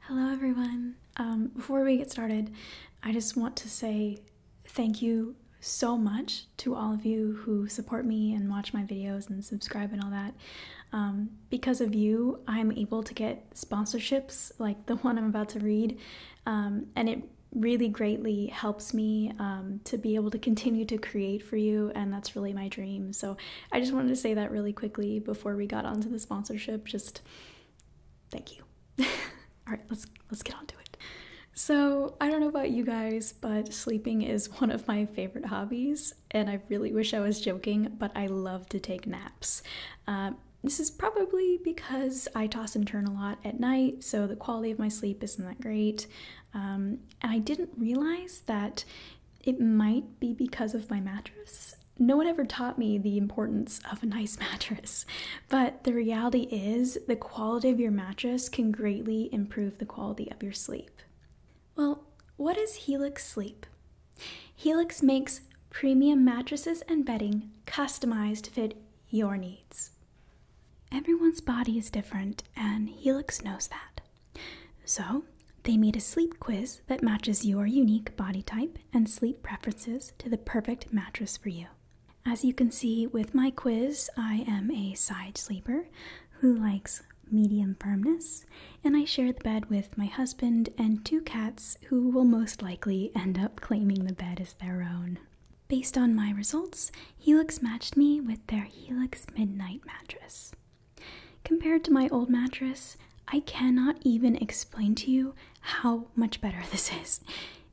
Hello, everyone. Um, before we get started, I just want to say thank you so much to all of you who support me and watch my videos and subscribe and all that. Um, because of you, I'm able to get sponsorships like the one I'm about to read, um, and it really greatly helps me to be able to continue to create for you, and that's really my dream. So I just wanted to say that really quickly before we got onto the sponsorship. Just thank you. All right, let's let's get on to it. So, I don't know about you guys, but sleeping is one of my favorite hobbies, and I really wish I was joking, but I love to take naps. Um, this is probably because I toss and turn a lot at night, so the quality of my sleep isn't that great. Um, and I didn't realize that it might be because of my mattress no one ever taught me the importance of a nice mattress, but the reality is the quality of your mattress can greatly improve the quality of your sleep. Well, what is Helix Sleep? Helix makes premium mattresses and bedding customized to fit your needs. Everyone's body is different, and Helix knows that. So, they made a sleep quiz that matches your unique body type and sleep preferences to the perfect mattress for you. As you can see with my quiz, I am a side sleeper who likes medium firmness, and I share the bed with my husband and two cats who will most likely end up claiming the bed as their own. Based on my results, Helix matched me with their Helix Midnight mattress. Compared to my old mattress, I cannot even explain to you how much better this is.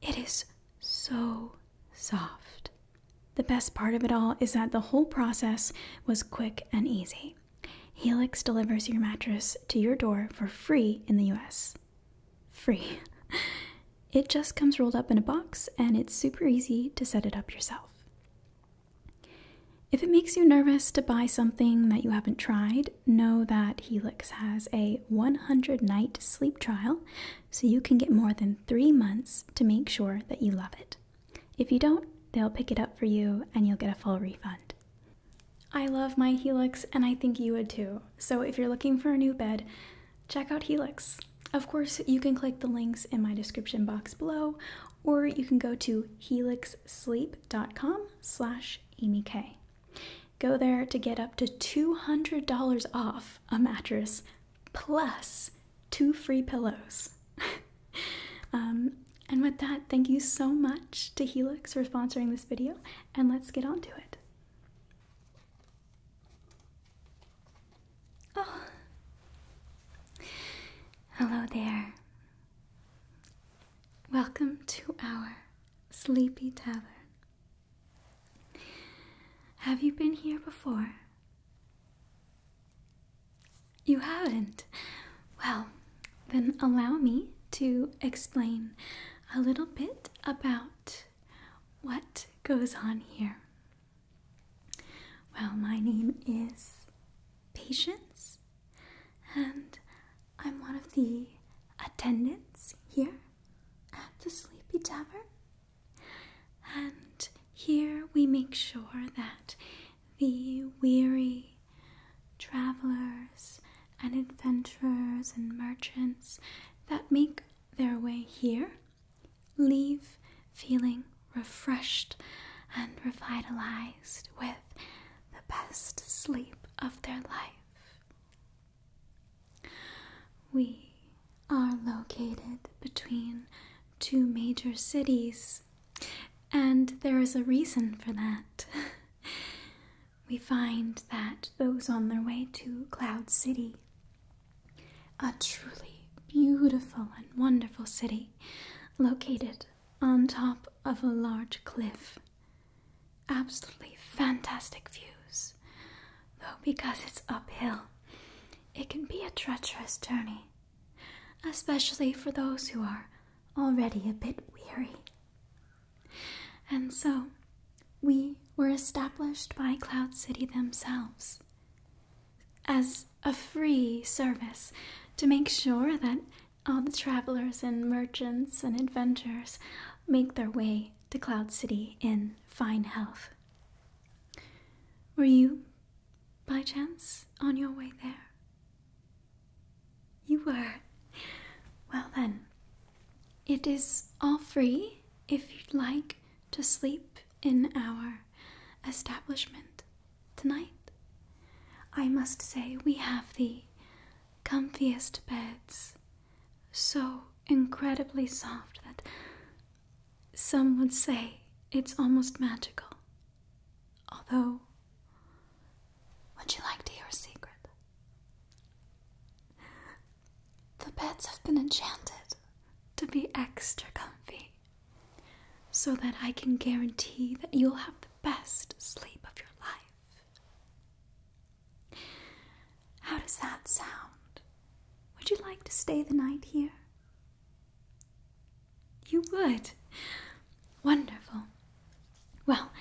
It is so soft. The best part of it all is that the whole process was quick and easy. Helix delivers your mattress to your door for free in the US. Free. It just comes rolled up in a box and it's super easy to set it up yourself. If it makes you nervous to buy something that you haven't tried, know that Helix has a 100 night sleep trial, so you can get more than three months to make sure that you love it. If you don't, they'll pick it up for you and you'll get a full refund. I love my Helix and I think you would too. So if you're looking for a new bed, check out Helix. Of course, you can click the links in my description box below or you can go to helixsleep.com slash slash K, Go there to get up to $200 off a mattress plus two free pillows. Um, and with that, thank you so much to Helix for sponsoring this video, and let's get on to it. Oh. Hello there. Welcome to our sleepy tavern. Have you been here before? You haven't? Well, then allow me to explain a little bit about what goes on here. Well, my name is Patience, and I'm one of the attendants here at the Sleepy Tavern. And here we make sure that the weary travelers and adventurers and merchants that make their way here leave feeling refreshed and revitalized with the best sleep of their life. We are located between two major cities, and there is a reason for that. we find that those on their way to Cloud City, a truly beautiful and wonderful city located on top of a large cliff. Absolutely fantastic views, though, because it's uphill, it can be a treacherous journey, especially for those who are already a bit weary. And so, we were established by Cloud City themselves as a free service to make sure that all the travelers and merchants and adventurers make their way to Cloud City in fine health. Were you, by chance, on your way there? You were. Well, then, it is all free if you'd like to sleep in our establishment tonight. I must say, we have the comfiest beds, so incredibly soft that some would say it's almost magical. Although, would you like to hear a secret? The beds have been enchanted to be extra comfy so that I can guarantee that you'll have the best sleep of your life. How does that sound? Would you like to stay the night here? You would. Wonderful. Well,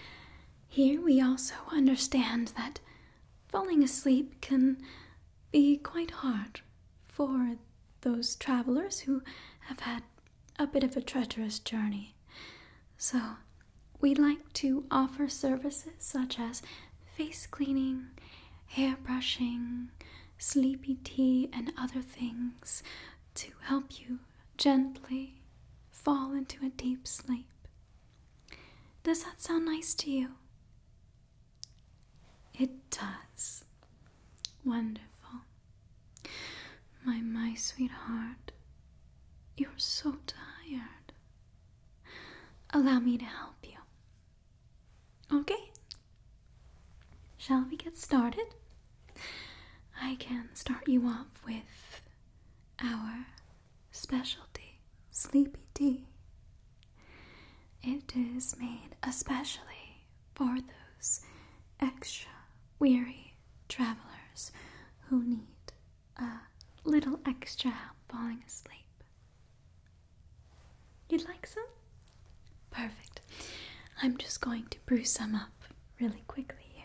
here we also understand that falling asleep can be quite hard for those travelers who have had a bit of a treacherous journey. So, we like to offer services such as face cleaning, hair brushing, sleepy tea, and other things to help you gently fall into a deep sleep. Does that sound nice to you? It does. Wonderful. My, my sweetheart, you're so tired. Allow me to help you. Okay? Shall we get started? I can start you off with our specialty, sleepy tea. It is made especially for those extra weary travelers who need a little extra help falling asleep. You'd like some? Perfect. I'm just going to brew some up really quickly here.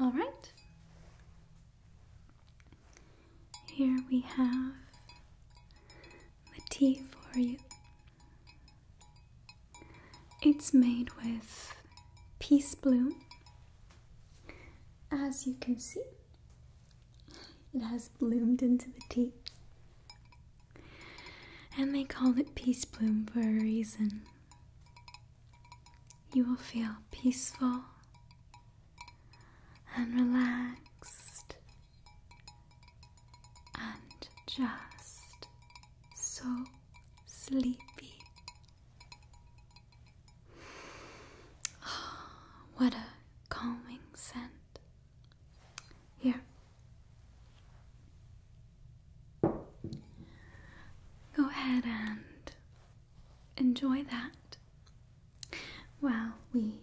All right. Here we have the tea for you. It's made with peace bloom as you can see, it has bloomed into the tea. And they call it Peace Bloom for a reason. You will feel peaceful and relaxed and just so sleepy. Oh, what a calming scent. Here. Go ahead and enjoy that while we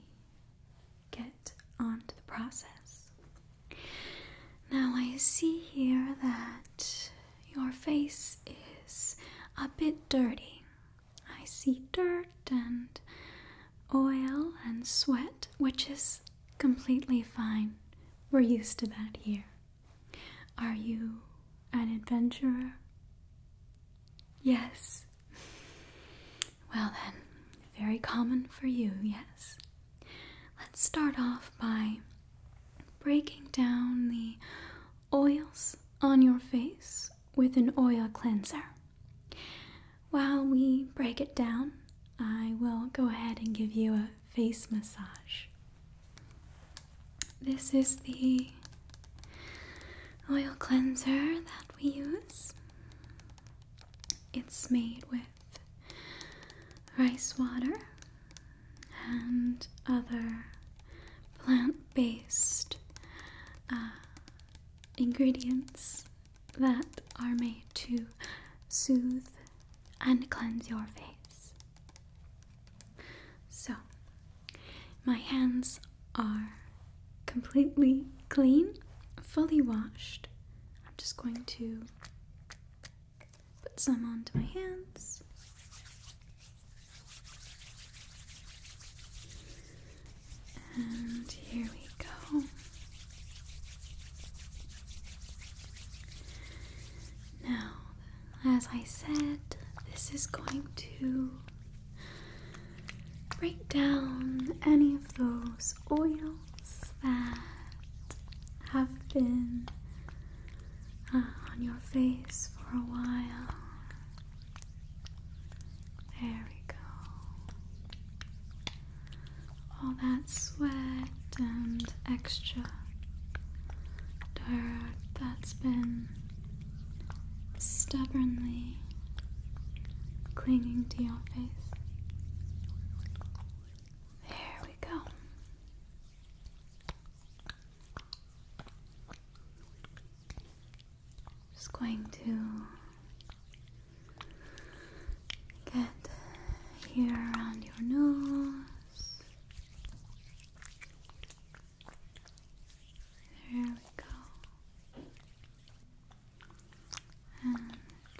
get on to the process. Now, I see here that your face is a bit dirty. I see dirt and oil and sweat, which is completely fine. We're used to that here. Are you an adventurer? Yes. Well, then, very common for you, yes. Let's start off by breaking down the oils on your face with an oil cleanser. While we break it down, I will go ahead and give you a face massage. This is the oil cleanser that we use. It's made with rice water and other plant based uh, ingredients that are made to soothe and cleanse your face. So, my hands are completely clean, fully washed. I'm just going to put some onto my hands. And here we go. Now, as I said, this is going to break down any of those oils that have been Ah, on your face for a while. There we go. All that sweat and extra dirt that's been stubbornly clinging to your face. There we go. Just going to get here around your nose. There we go. And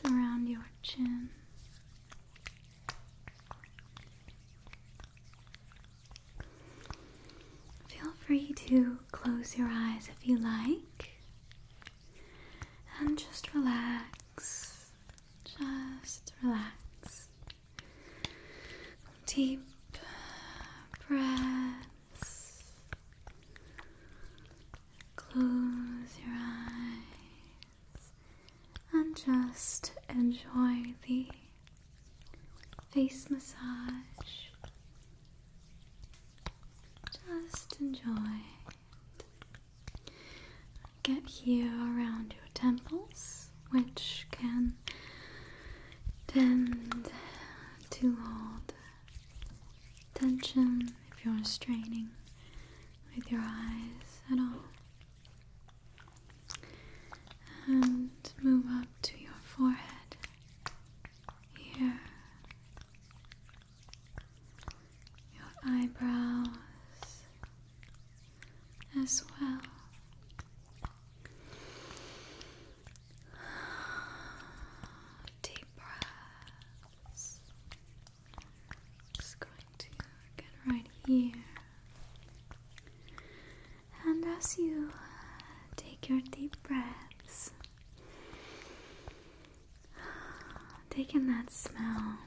around your chin. Feel free to close your eyes if you like and just relax. Just relax. Deep breaths. Close your eyes and just enjoy the face massage. Just enjoy Get here around your temples, which can tend to hold tension if you're straining with your eyes at all and move up to your forehead here, your eyebrows as well. Deep breaths. going to get right here and as you uh, take your deep breaths, take in that smell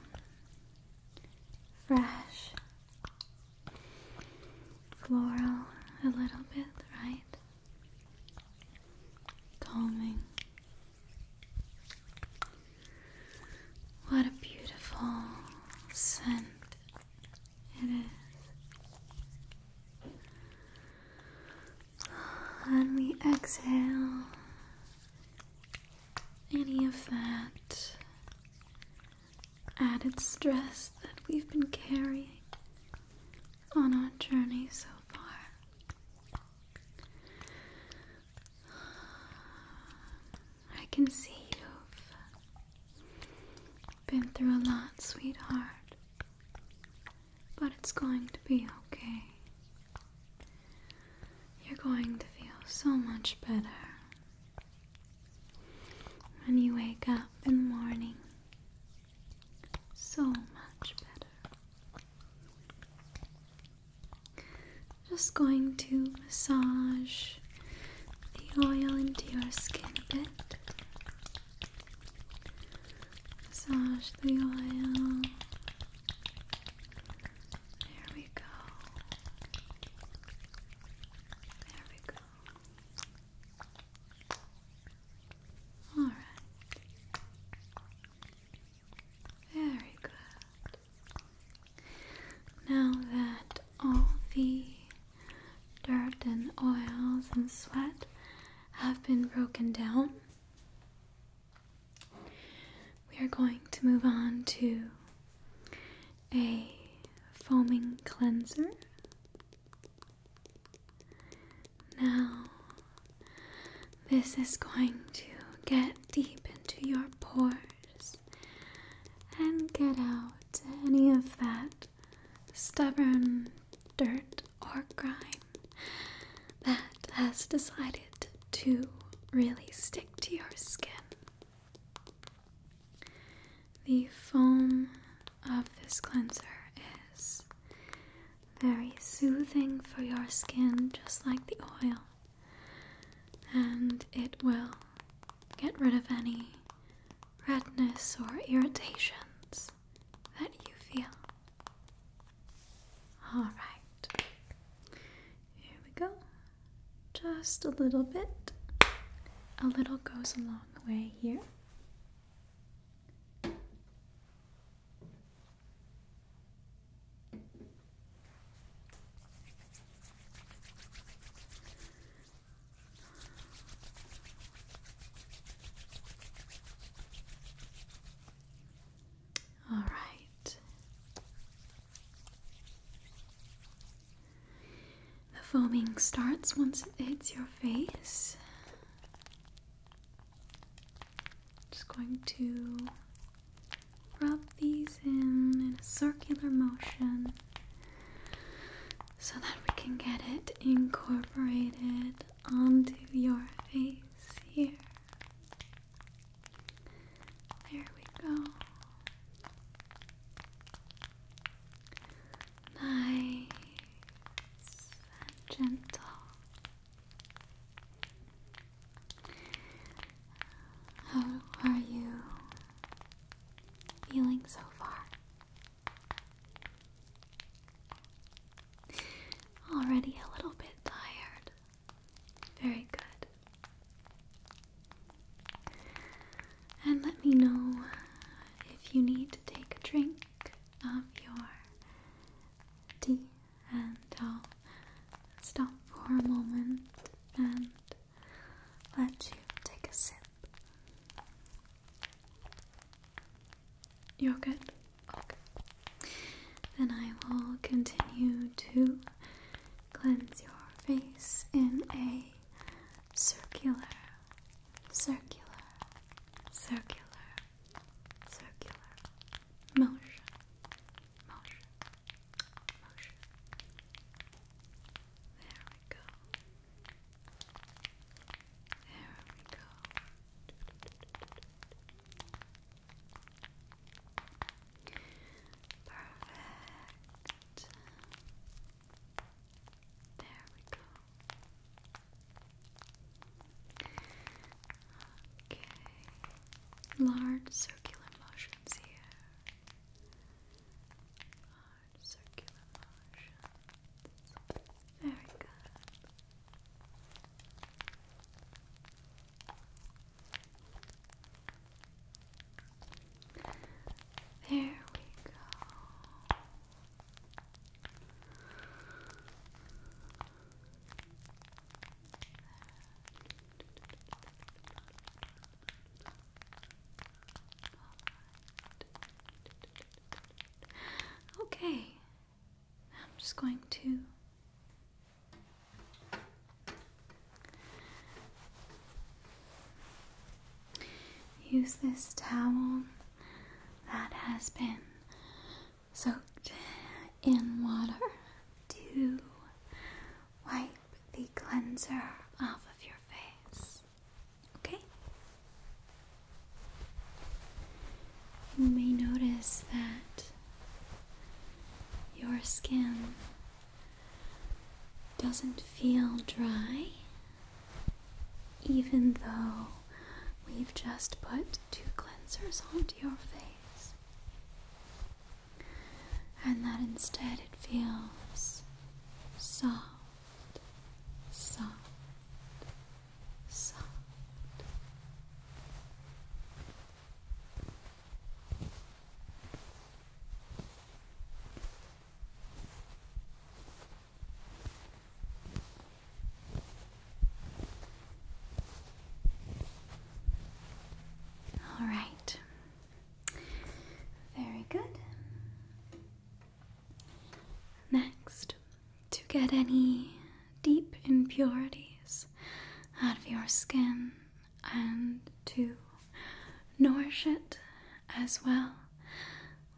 fresh, floral, a little bit, right? Calming. What a beautiful scent and we exhale any of that added stress that we've been carrying on our journey so far. I can see you've been through a lot, sweetheart. But it's going to be okay. You're going to feel so much better when you wake up in the morning. So much better. Just going to massage the oil into your skin a bit. Massage the oil. There we go. There we go. All right. Very good. Now that all the dirt and oils and sweat have been broken down. We are going to move on to a foaming cleanser. Now, this is going to get deep into your pores and get out any of that stubborn dirt or grime that has decided to really stick to your skin. The foam of this cleanser is very soothing for your skin, just like the oil, and it will get rid of any redness or irritations that you feel. Alright, here we go. Just a little bit. A little goes a long way here. All right. The foaming starts once it hits your face. Just going to rub these in in a circular motion so that we can get it incorporated onto your face here. There we go. Nice and gentle. How are you feeling so far? Already a little bit tired. Very good. And let me know if you need to take a drink of your tea, and I'll stop for a moment and let you take a sip. You're good? Okay. Then I will continue to cleanse your face in a circular, circular, circular, circular motion, motion, There we go. There we go. Perfect. There we go. Okay. Large circular motions here circular motions. Very good. There we go. Okay. I'm just going to use this towel that has been soaked in water to wipe the cleanser off of your face. Okay? You may notice that your skin doesn't feel dry, even though we've just put two cleansers onto your face, and that instead it feels soft soft, soft. All right. Very good. Next, to get any deep impurities out of your skin and to nourish it as well,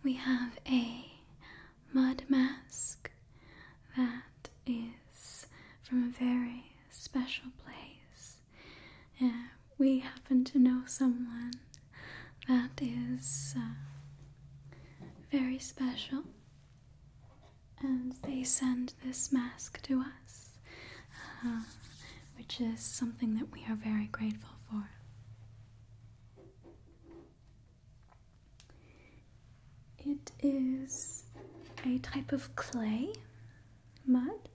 we have a mud mask that is from a very special place. and uh, we happen to know someone that is uh, very special. And they send this mask to us, uh, which is something that we are very grateful for. It is a type of clay mud,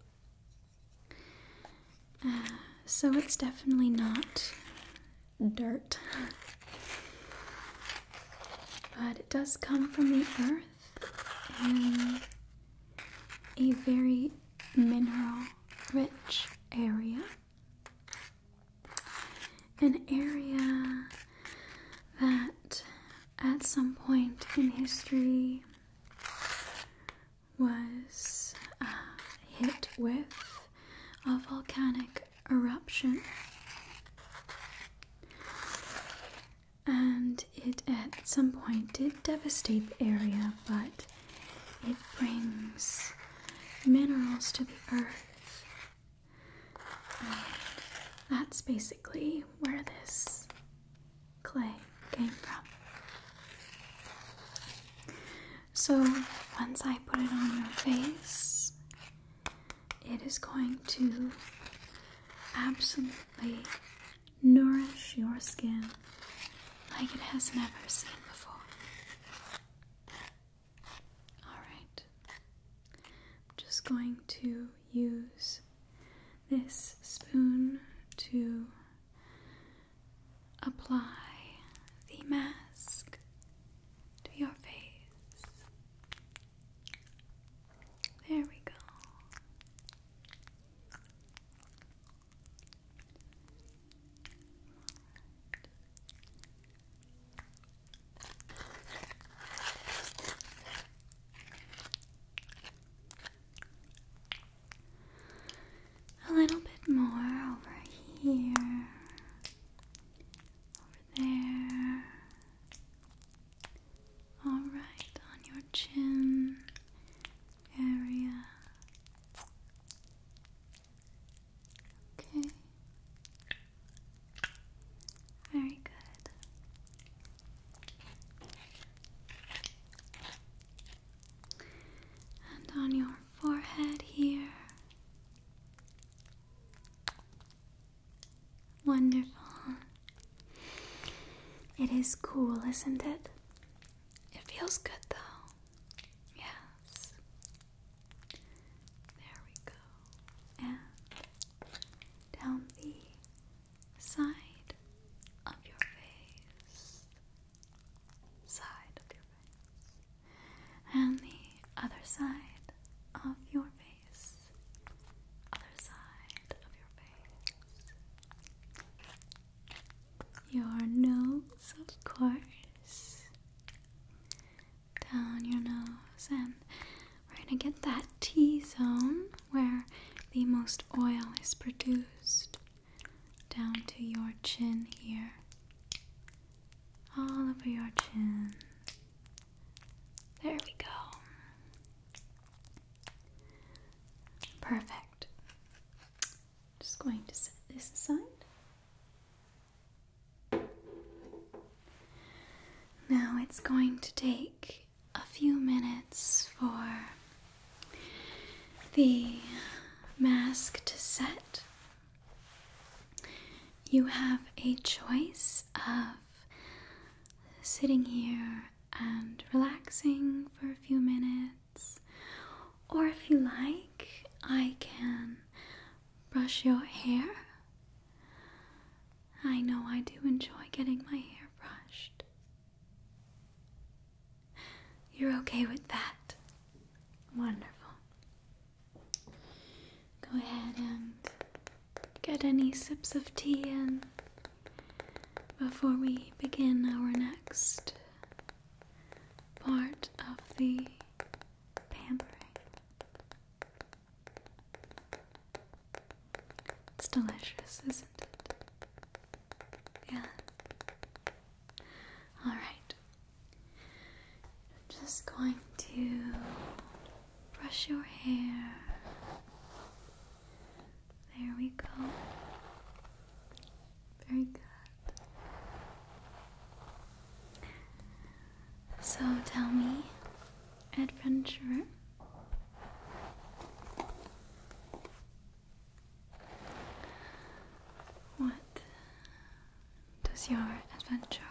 so it's definitely not dirt. But it does come from the earth in a very mineral rich area. An area that at some point in history was uh, hit with a volcanic eruption and it at some point did devastate the area but it brings minerals to the earth that's basically where this clay came from so, once I put it on your face, it is going to absolutely nourish your skin like it has never seen before. Alright, I'm just going to use this spoon to apply the mask to your face. There we go a little bit more over here, over there. All right, on your chin area. Okay. Very good. And on your forehead here. Wonderful. It is cool, isn't it? It feels good though. Yes. There we go. And down the side of your face side of your face and the other side of your face. Other side of your face. Your nose, of course. Down your nose, and we're gonna get that T zone where the most oil is produced down to your chin here all over your chin. There we go. Perfect. Just going to set this aside. Now it's going to take a few minutes for the mask to set you have a choice of sitting here and relaxing for a few minutes, or if you like, I can brush your hair. I know I do enjoy getting my hair brushed. You're okay with that? Wonderful. Go ahead and get any sips of tea in before we begin our next part of the pampering. It's delicious, isn't it? Yeah. All right. I'm just going to brush your hair. There we go. Very good. So tell me, adventurer, what does your adventure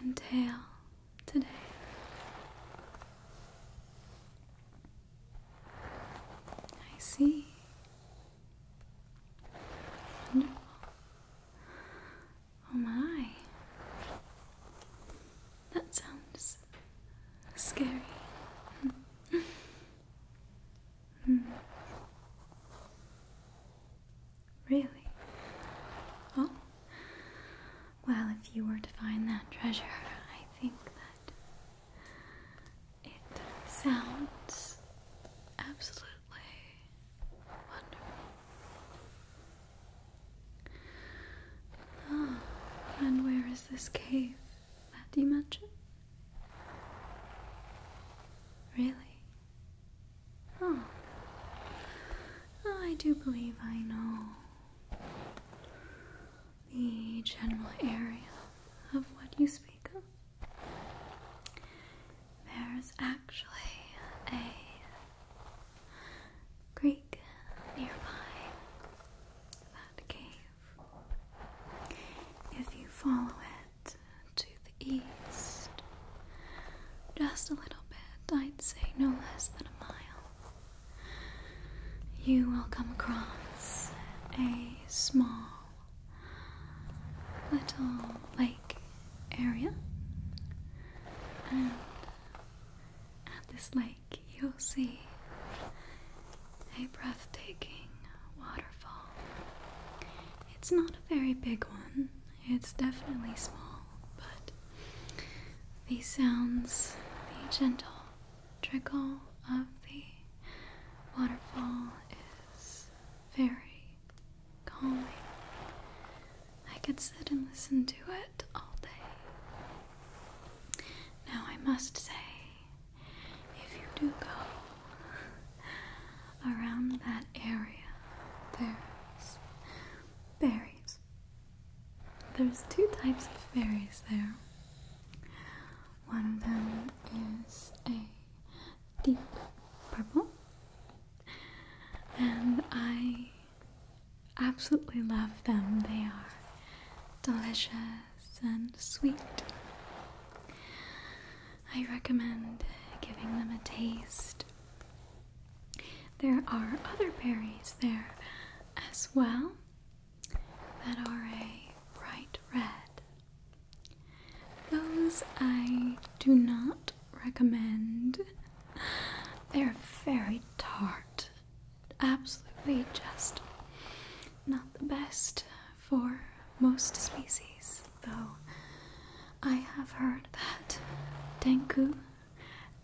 entail today? I see. Wonderful. Oh my. That sounds scary. mm. Really? Oh. Well, if you were to find that treasure, I think that it sounds absolutely wonderful. Ah, and where is this cave that you mentioned? Really? Oh. oh. I do believe I know the general area of what you speak of. There's actually a creek nearby that cave. If you follow it, to the east. Just a little bit, I'd say no less than a mile. You will come across a small little lake area, and at this lake, you'll see a breathtaking water. It's not a very big one, it's definitely small, but the sounds, the gentle trickle of the waterfall is very calming. I could sit and listen to it all day. Now, I must say, if you do go around that area, there's berries. There's two types of berries there. One of them is a deep purple, and I absolutely love them. They are delicious and sweet. I recommend giving them a taste. There are other berries there as well that are a bright red. Those I do not recommend. They're very tart. Absolutely just not the best for most species though I have heard that Denku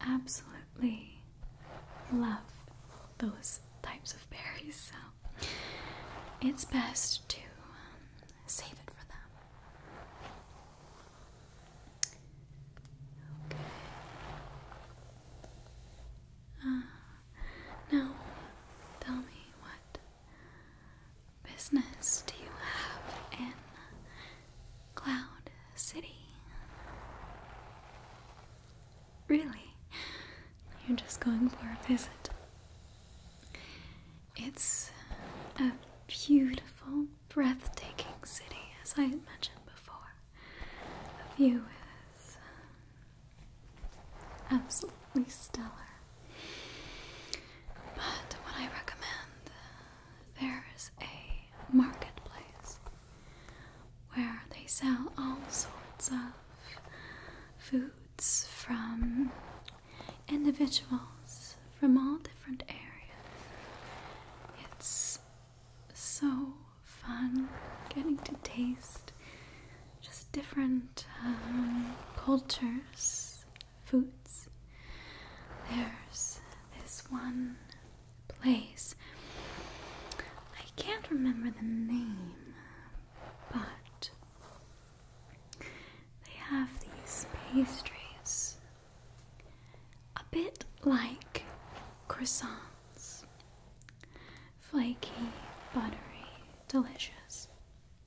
absolutely love those types of berries, so it's best to um, save it for them. Okay. Uh, tell me what business do you have in Cloud City? Really? You're just going for a visit. It's a beautiful, breathtaking city, as I had mentioned before. The view is absolutely stellar. But what I recommend, there's a marketplace where they sell all sorts of foods from individuals from all different areas. It's so fun getting to taste just different um, cultures foods. There's this one place. I can't remember the name, but they have these pastries a bit like croissants. Flaky, buttery, delicious.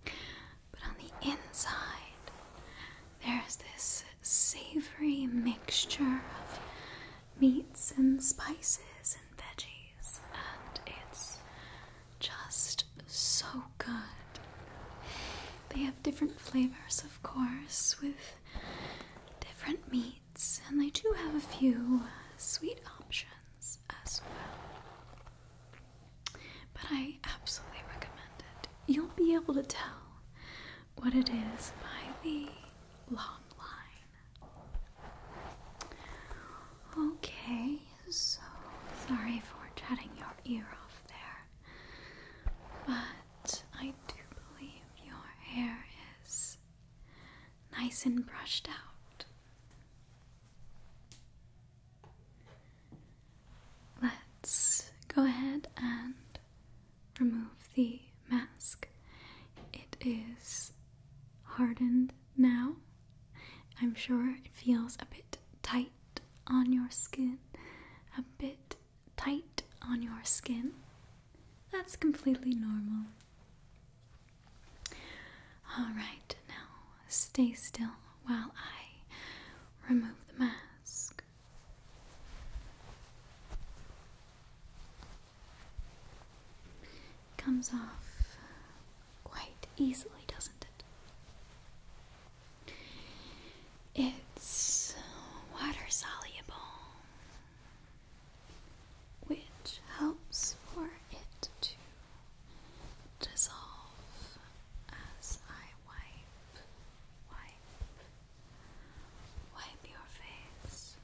But on the inside, there's this savory mixture of meats and spices and veggies, and it's just so good. They have different flavors, of course, with different meats, and they do have a few uh, sweet options as well. But I absolutely recommend it. You'll be able to tell what it is by the long line. Okay, so sorry for jutting your ear off there, but I do believe your hair is nice and brushed out. Let's go ahead and remove the mask. It is hardened now. I'm sure it feels a bit tight on your skin. A bit tight on your skin. That's completely normal. Alright, now stay still while I remove the mask. comes off quite easily, doesn't it? It's water soluble, which helps for it to dissolve as I wipe wipe, wipe your face.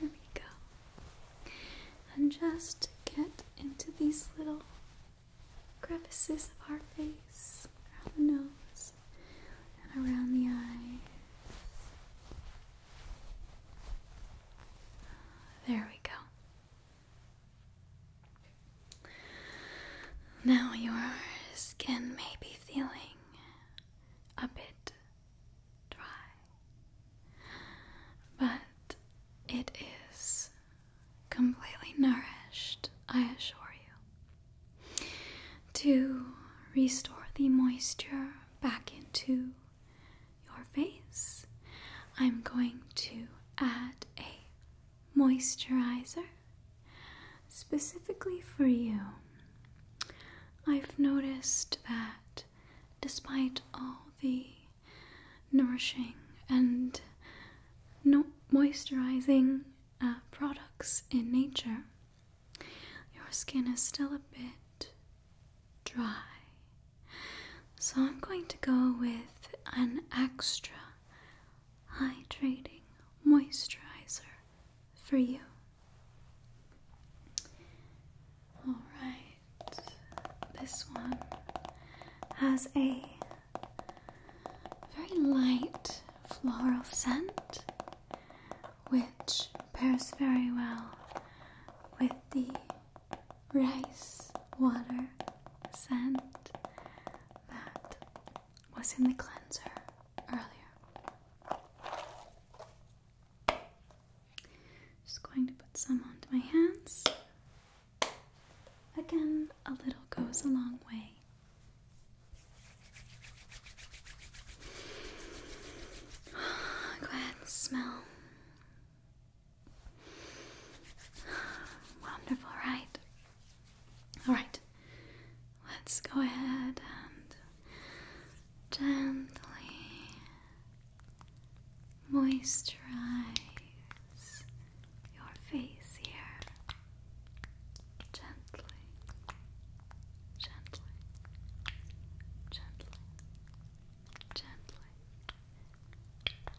There we go. And just get into these little crevices of our face, around the nose, and around the eyes. There we go. Now your skin may be feeling a bit dry, but it is completely nourished, I assure you, to restore the moisture back into your face. I'm going to add a moisturizer specifically for you. I've noticed that despite all the nourishing and moisturizing uh, products in nature, your skin is still a bit dry. So I'm going to go with an extra hydrating moisturizer for you. Alright, this one has a very light floral scent, which pairs very well with the rice water scent that was in the cleanser earlier. Just going to put some onto my hands. Again, a little goes a long way. Go ahead and smell. Wonderful, right? Alright, let's go ahead and gently moisturize your face here gently, gently, gently, gently,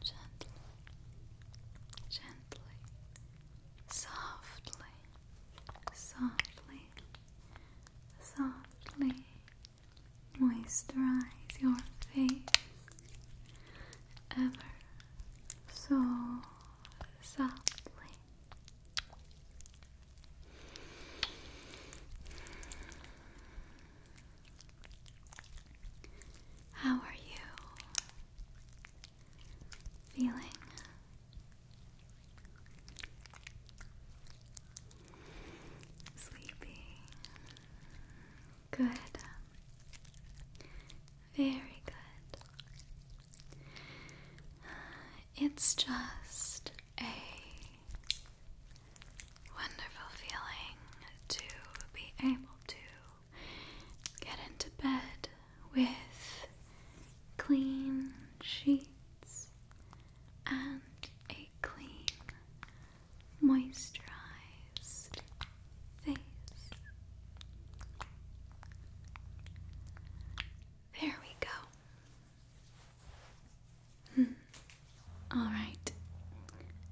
gently, gently, softly, softly, softly. Moisturize your face ever so softly. How are you feeling? Sleepy. Good. Very good. It's just a wonderful feeling to be able to get into bed with clean sheets and a clean, moisturized face. There we go. Hmm. All right.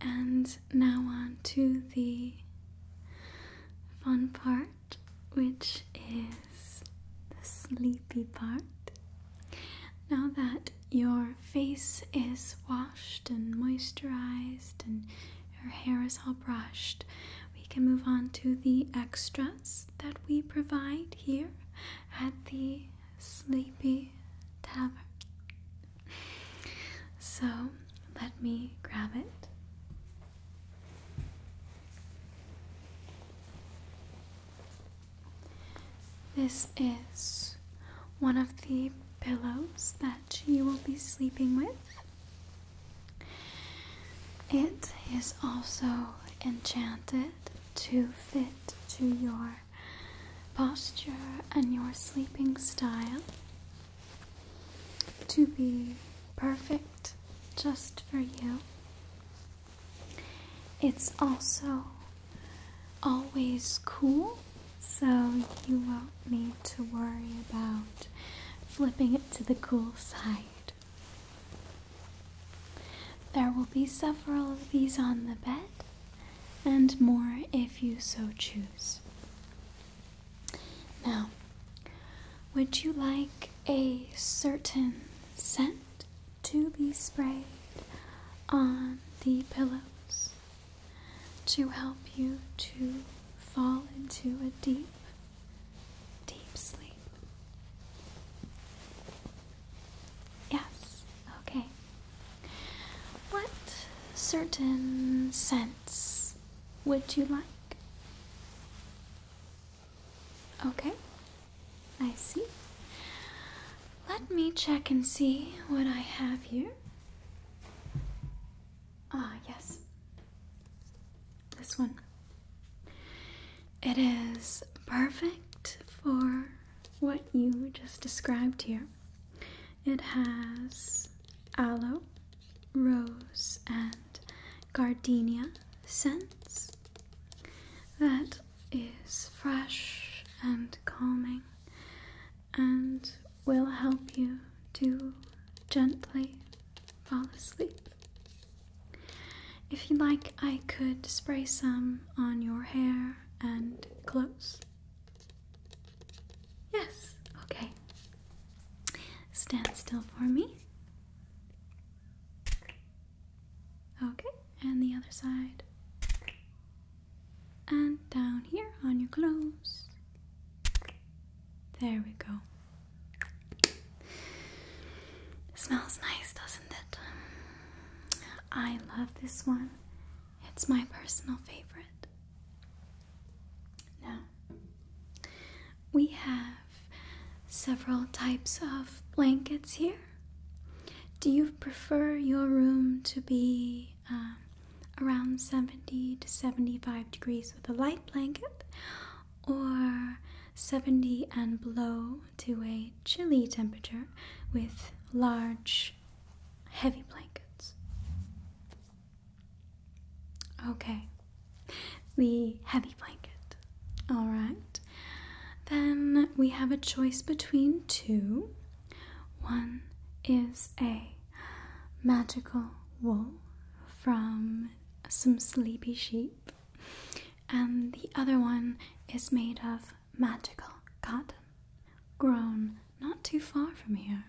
And now on to the fun part, which is the sleepy part. Now that your face is washed and moisturized and her hair is all brushed. We can move on to the extras that we provide here at the Sleepy Tavern. So let me grab it. This is one of the pillows that you will be sleeping with. It is also enchanted to fit to your posture and your sleeping style to be perfect just for you. It's also always cool, so you will need to worry about flipping it to the cool side. There will be several of these on the bed, and more if you so choose. Now, would you like a certain scent to be sprayed on the pillows to help you to fall into a deep Deep sleep. Yes, okay. What certain scents would you like? Okay, I see. Let me check and see what I have here. Ah, yes. This one. It is perfect for what you just described here. It has aloe, rose, and gardenia scents that is fresh and calming and will help you to gently fall asleep. If you like, I could spray some on your hair and clothes. Yes, okay. Stand still for me. Okay, and the other side. And down here on your clothes. There we go. Smells nice, doesn't it? I love this one. It's my personal favorite. Now, we have several types of blankets here. Do you prefer your room to be uh, around 70 to 75 degrees with a light blanket? or 70 and below to a chilly temperature with large, heavy blankets. Okay, the heavy blanket. Alright, then we have a choice between two. One is a magical wool from some sleepy sheep, and the other one is made of magical cotton grown not too far from here.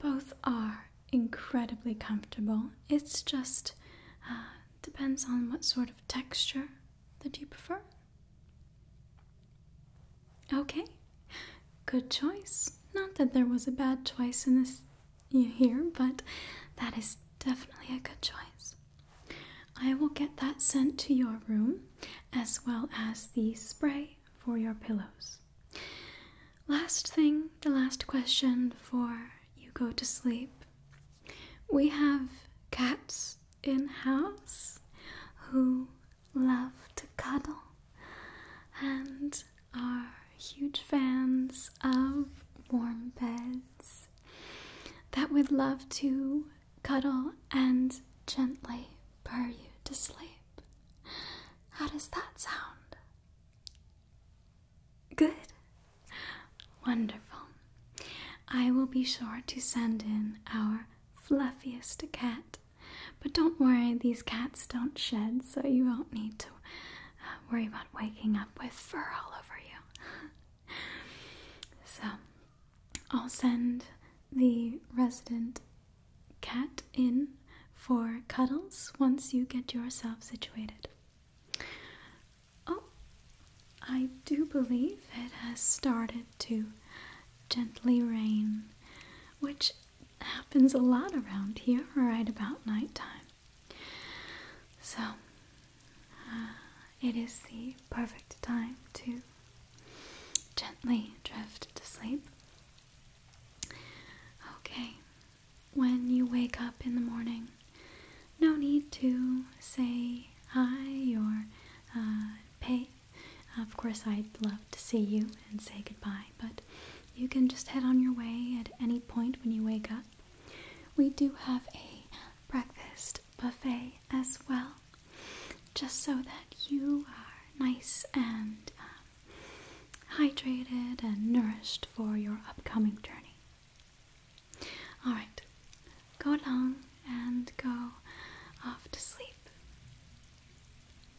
Both are incredibly comfortable. It's just uh, depends on what sort of texture that you prefer. Okay, good choice. Not that there was a bad choice in this you hear, but that is definitely a good choice. I will get that sent to your room as well as the spray for your pillows. Last thing, the last question before you go to sleep. We have cats in house who love to cuddle and are huge fans of warm beds that would love to cuddle and gently purr you to sleep. How does that sound? Good. Wonderful. I will be sure to send in our fluffiest cat. But don't worry, these cats don't shed, so you won't need to um, worry about waking up with fur all over you. so, I'll send the resident cat in for cuddles once you get yourself situated. Oh, I do believe it has started to gently rain, which happens a lot around here right about nighttime. So, uh, it is the perfect time to gently drift to sleep. Okay, when you wake up in the morning, no need to say hi or uh, pay. Of course, I'd love to see you and say goodbye but you can just head on your way at any point when you wake up. We do have a breakfast buffet as well, just so that you are nice and um, hydrated and nourished for your upcoming journey. Alright, go along and go off to sleep.